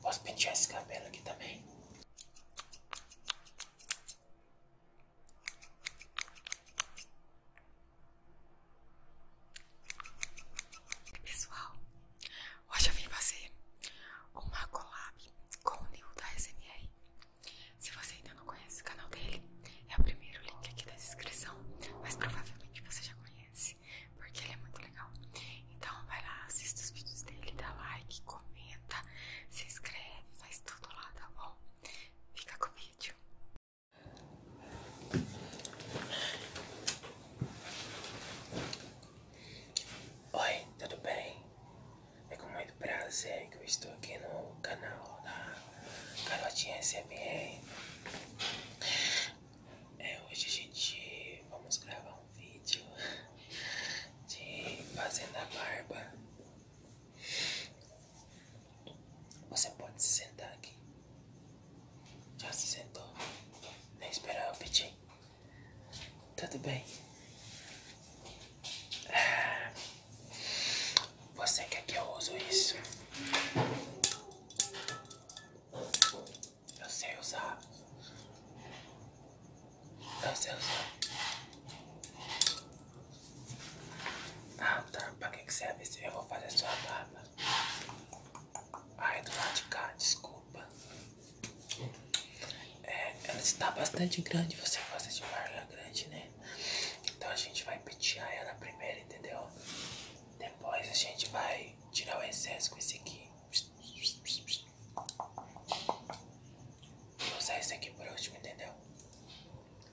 Posso pentear esse cabelo aqui também? Pessoal, hoje eu vim fazer uma collab com o Nil da SMR. Se você ainda não conhece o canal dele, é o primeiro link aqui da descrição, mas provavelmente você já conhece, porque ele é muito legal. Então vai lá, assista os vídeos dele, dá like, comenta, se inscreve, faz tudo lá, tá bom? Fica com o vídeo. Oi, tudo bem? É com muito prazer que eu estou aqui no canal da Carotinha SMR. É, hoje a gente vamos gravar um vídeo de fazendo a barba. Você pode se sentar aqui. Já se sentou? Nem esperar o pedir. Tudo bem. Ah. Você quer que eu use isso? Eu sei usar. Eu sei usar. Ah tá, pra que, que serve Eu vou fazer sua barba. Aí do lado de cá, desculpa. É, ela está bastante grande, você gosta de barba grande, né? Então a gente vai pentear ela primeiro, entendeu? Depois a gente vai tirar o excesso com esse aqui. Vou usar esse aqui por último, entendeu?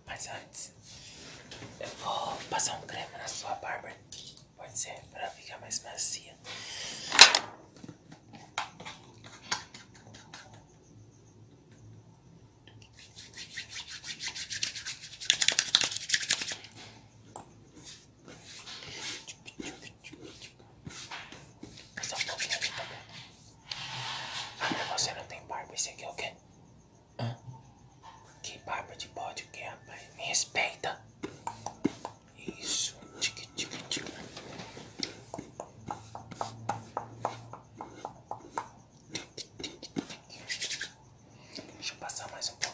Mas antes, eu vou passar um creme na sua barba. Pode ser, pra ficar mais macia. Essa é um pouquinho aqui também. Ah, mas você não tem barba, esse aqui é o quê? Que barba de bode que é, rapaz? Me respeita. Isso, tique, tique, tique. Deixa eu passar mais um pouquinho.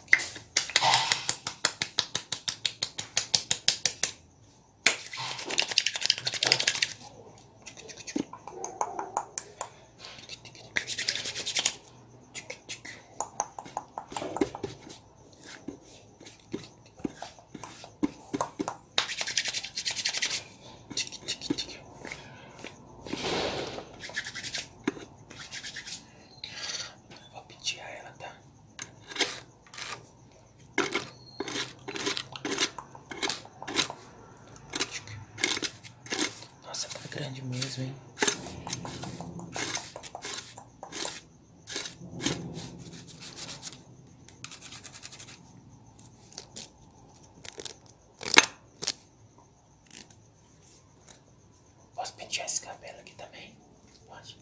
Vou pedir a ela, tá? Nossa, tá grande mesmo, hein? Posso pentear esse cabelo aqui também? Pode.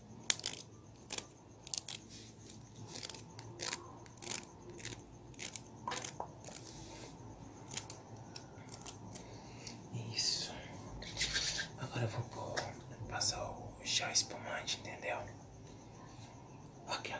Isso. Agora eu vou passar o chá espumante, entendeu? Olha que a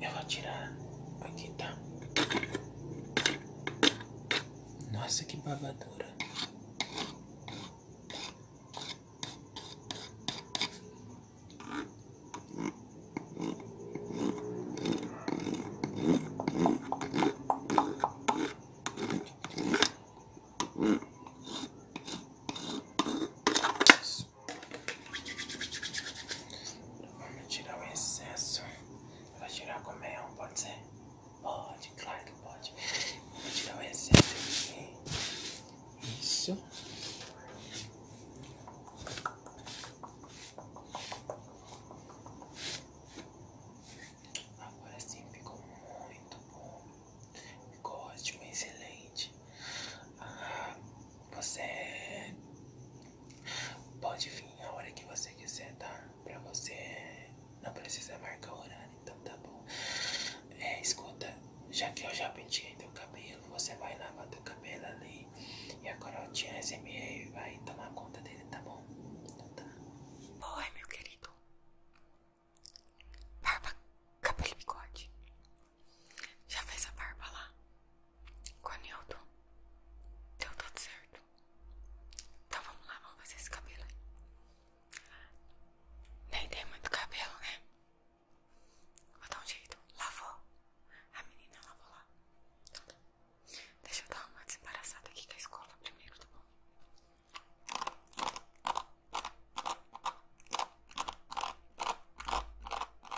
Eu vou tirar aqui, tá? Nossa, que babadura. Vamos tirar o excesso. Vai tirar com mel, pode ser? Pode, claro que pode. Vou tirar o excesso aqui. Isso. Agora sim ficou muito bom. Ficou ótimo, excelente. Ah, você pode vir a hora que você quiser, tá? Pra você não precisa marcar horário, então tá bom. É, escuta, já que eu já penteei teu cabelo, você vai lavar teu cabelo ali. E a corotinha SMA vai tomar conta dele, tá bom? Então tá. Oi, meu querido. Barba, cabelo e bigode. Já fez a barba lá? Com a Newton? Deu tudo certo? Então vamos lá, vamos fazer esse cabelo aí. Nem tem muito cabelo, né? Vou dar um jeito. Lavou. A menina lavou lá. Então tá. Deixa eu dar uma desembaraçada aqui com a escova primeiro, tá bom?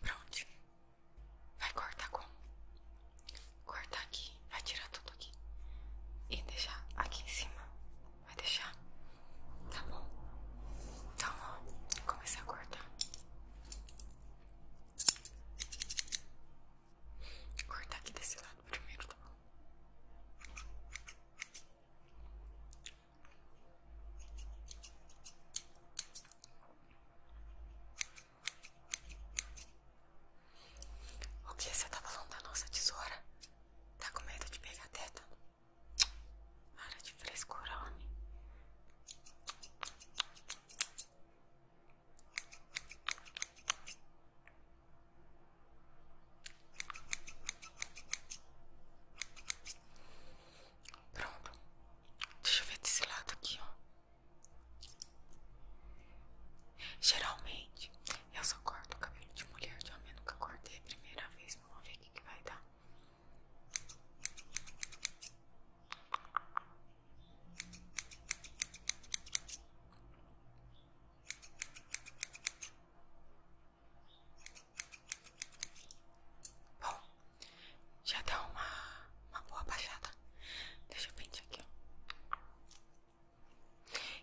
Pronto. Vai cortar como? Cortar aqui, vai tirar tudo aqui. E deixar aqui em cima. Vai deixar? Tá bom. Então, ó, começar a cortar. Cortar aqui desse lado primeiro, tá bom? O que você tá falando da nossa tesoura? Tá com medo de pegar teta? Para de frescura, homem. Pronto. Deixa eu ver desse lado aqui, Geralmente, eu só corto o cabelo de mulher de homem. Eu nunca cortei a primeira vez. Vamos ver o que, vai dar. Bom, já deu uma, uma boa baixada. Deixa eu pentear aqui,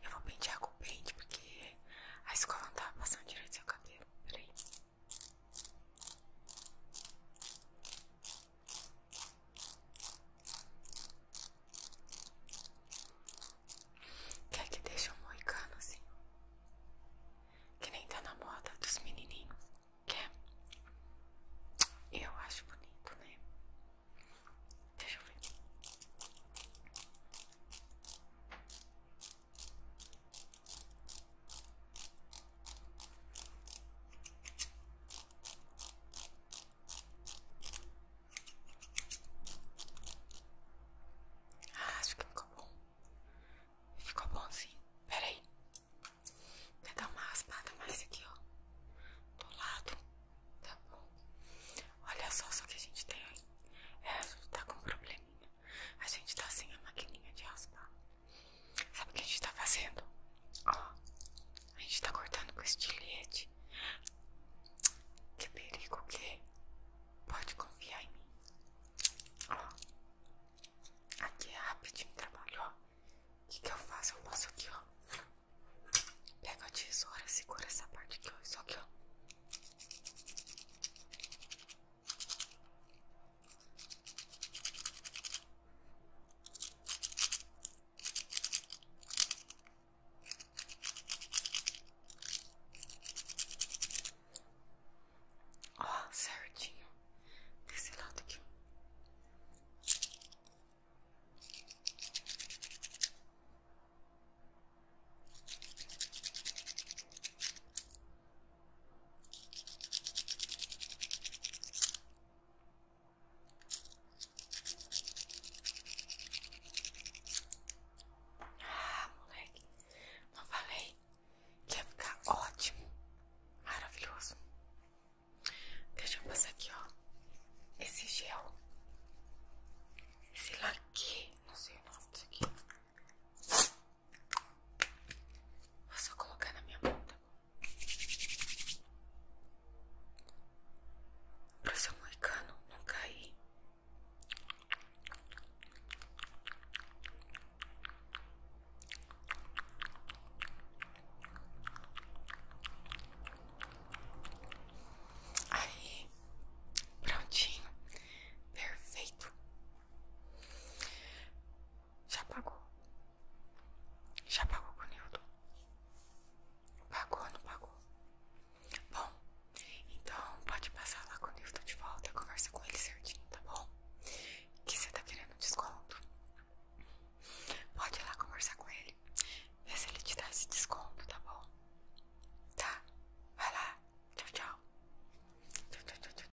Eu vou pentear com pente porque a escola não tá passando direito seu cabelo. Peraí. Quer que deixe um moicano assim? Que nem tá na moda dos menininhos. Quer? Eu acho bonito, né? Deixa eu ver. Ah, acho que ficou Ficou bom sim. Peraí. quer dar uma raspada mais aqui, ó. Do lado. Tá bom. Olha só, só que a gente tem aí. essa é, tá com probleminha. A gente tá sem a maquininha de raspar. Sabe o que a gente tá fazendo? Ó. A gente tá cortando com estilete. Que perigo que? Pode confiar em mim. Ó, aqui é rapidinho trabalho, ó. O que, que eu faço? Eu passo aqui, ó. pega a tesoura, segura essa parte aqui, ó. Isso aqui, ó. Ó, certinho desse lado aqui. Ah, moleque, não falei que ia ficar ótimo, maravilhoso. Deixa eu passar aqui, ó. Esse gel, esse laque, não sei o nome disso aqui. Vou só colocar na minha mão, tá bom? Pra ser moicano, não cair Aí, prontinho, perfeito. Já pagou? Já pagou com o Nildo? Pagou ou não pagou? Bom, então pode passar lá quando eu estou de volta, conversa com ele certinho, tá bom? Que você tá querendo desconto? Pode ir lá conversar com ele, ver se ele te dá esse desconto, tá bom? Tá, vai lá, tchau. tchau, tchau, tchau, tchau.